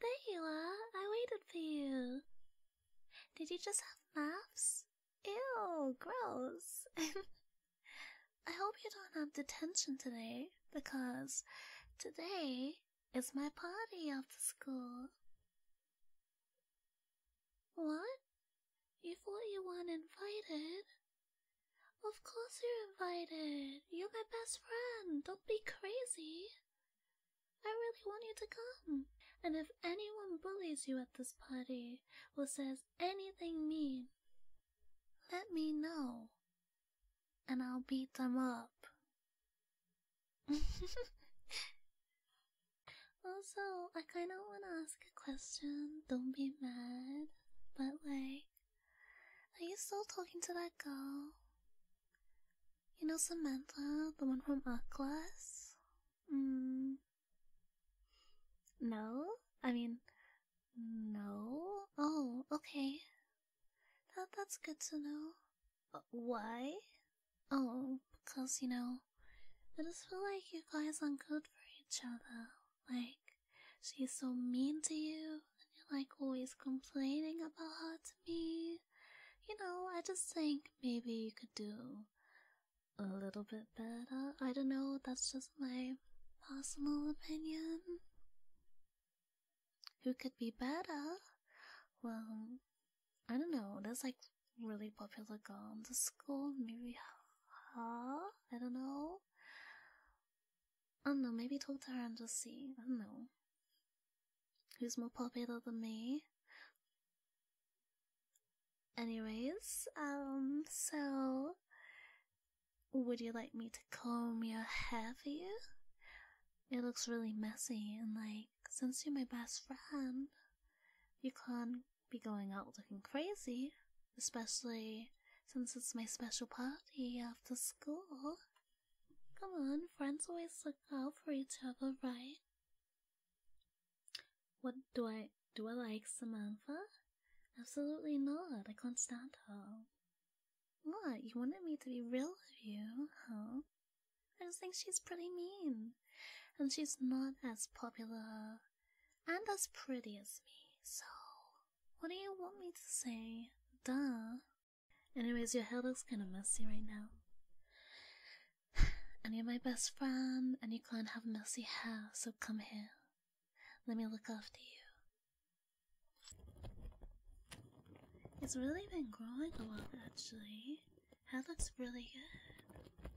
There you are! I waited for you! Did you just have maths? Ew, gross! I hope you don't have detention today, because today is my party after school. What? You thought you weren't invited? Of course you're invited. You're my best friend. Don't be crazy. I really want you to come. And if anyone bullies you at this party or says anything mean, let me know. And I'll beat them up. also, I kind of want to ask a question. Don't be mad. But, like, are you still talking to that girl? You know Samantha, the one from art class? Mm. No? I mean, no? Oh, okay. That, that's good to know. Uh, why? Oh, because, you know, I just feel like you guys aren't good for each other. Like, she's so mean to you, and you're like always complaining about her to me. You know, I just think maybe you could do a little bit better. I don't know, that's just my personal opinion. Who could be better? Well, I don't know, there's like really popular girls in school, maybe her? I don't know. I don't know, maybe talk to her and just see. I know. Who's more popular than me? Anyways, um, so would you like me to comb your hair for you? It looks really messy, and like, since you're my best friend, you can't be going out looking crazy especially since it's my special party after school. Come on, friends always look out for each other, right? What do I do? I like Samantha? Absolutely not. I can't stand her. What? You wanted me to be real with you, huh? I just think she's pretty mean. And she's not as popular and as pretty as me, so what do you want me to say? Duh. Anyways, your hair looks kind of messy right now. And you're my best friend, and you can't have messy hair, so come here. Let me look after you. It's really been growing a lot, actually. Hair looks really good.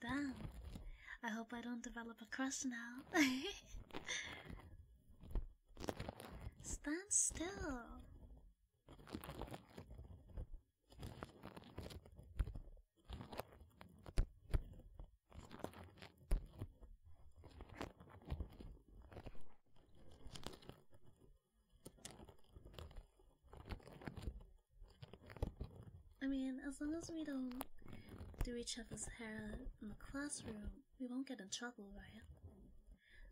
Damn. I hope I don't develop a crush now. Stand still. I mean, as long as we don't do each other's hair in the classroom, we won't get in trouble, right?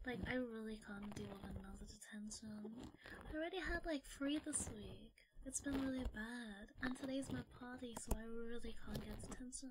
Like, I really can't deal with another detention. I already had like three this week. It's been really bad. And today's my party, so I really can't get detention.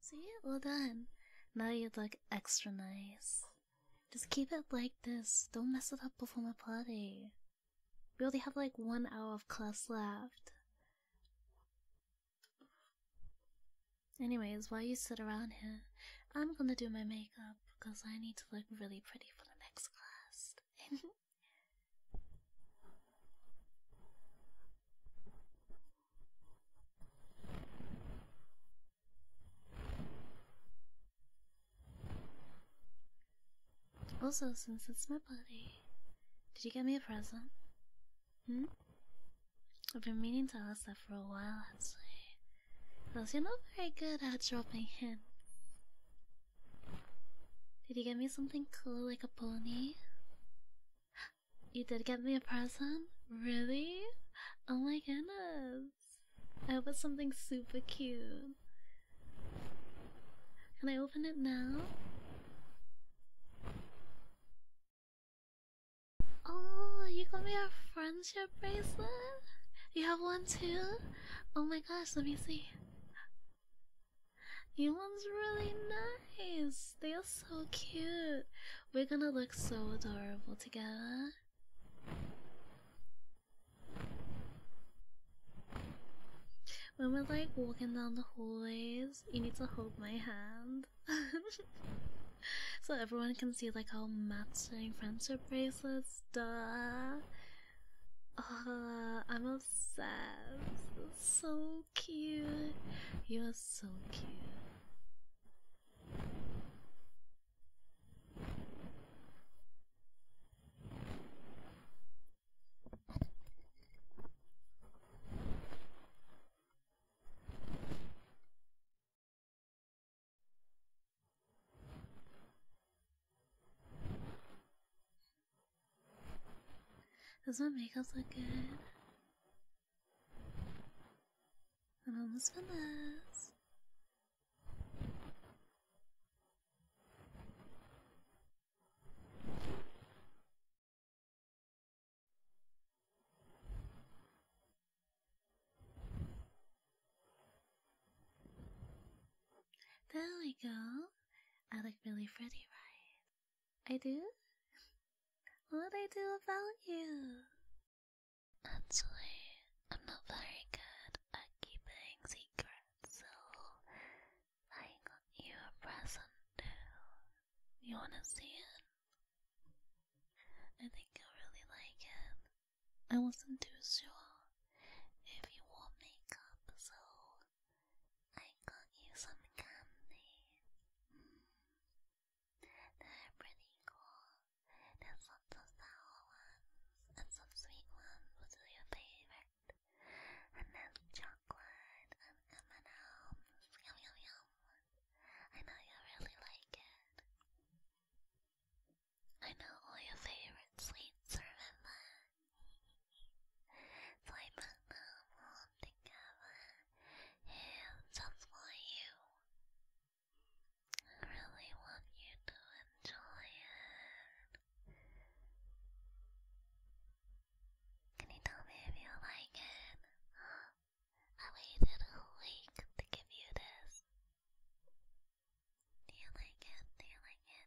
See, well done. Now you look extra nice. Just keep it like this. Don't mess it up before my party. We only have like one hour of class left. Anyways, while you sit around here, I'm gonna do my makeup because I need to look really pretty for the next class. Also, since it's my birthday, did you get me a present? Hmm? I've been meaning to ask that for a while actually. Because you're not very good at dropping hints. Did you get me something cool like a pony? You did get me a present? Really? Oh my goodness. I hope it's something super cute. Can I open it now? Oh, you got me a friendship bracelet? You have one too? Oh my gosh, let me see ones really nice. They are so cute. We're gonna look so adorable together. When we're like walking down the hallways, you need to hold my hand. so everyone can see like our matching friendship bracelets. Duh. I'm a so So cute. You're so cute. Does my makeup look good? I'm almost finished. There we go. I look really pretty, right? I do? what do I do about you? Actually, I'm not very good at keeping secrets, so I got you a present too. You wanna see it? I think you'll really like it. I wasn't too sure if you wore makeup, so I got you some candy. Mm. They're pretty cool. There's lots sour ones and some sweet ones, which are your favorite. And there's chocolate and M&M's. Yum yum yum. I know you really like it. I know all your favorite sweets, remember? so I put them all together here just for you. I really want you to enjoy it. Can you tell me if you like it? I waited a week to give you this. Do you like it? Do you like it?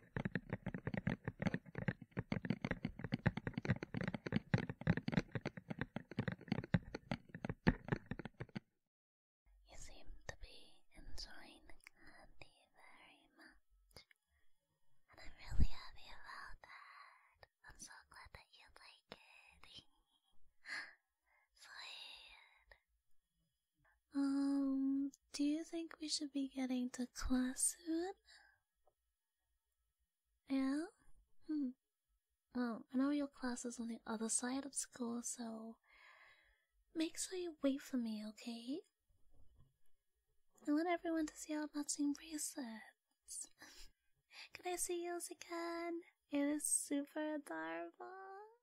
You seem to be enjoying the very much, and I'm really happy about that. I'm so glad that you like it. Sweet. Um, do you think we should be getting to class soon? Yeah? Hmm. Well, I know your class is on the other side of school, so make sure you wait for me, okay? I want everyone to see our matching bracelets. Can I see yours again? It is super adorable.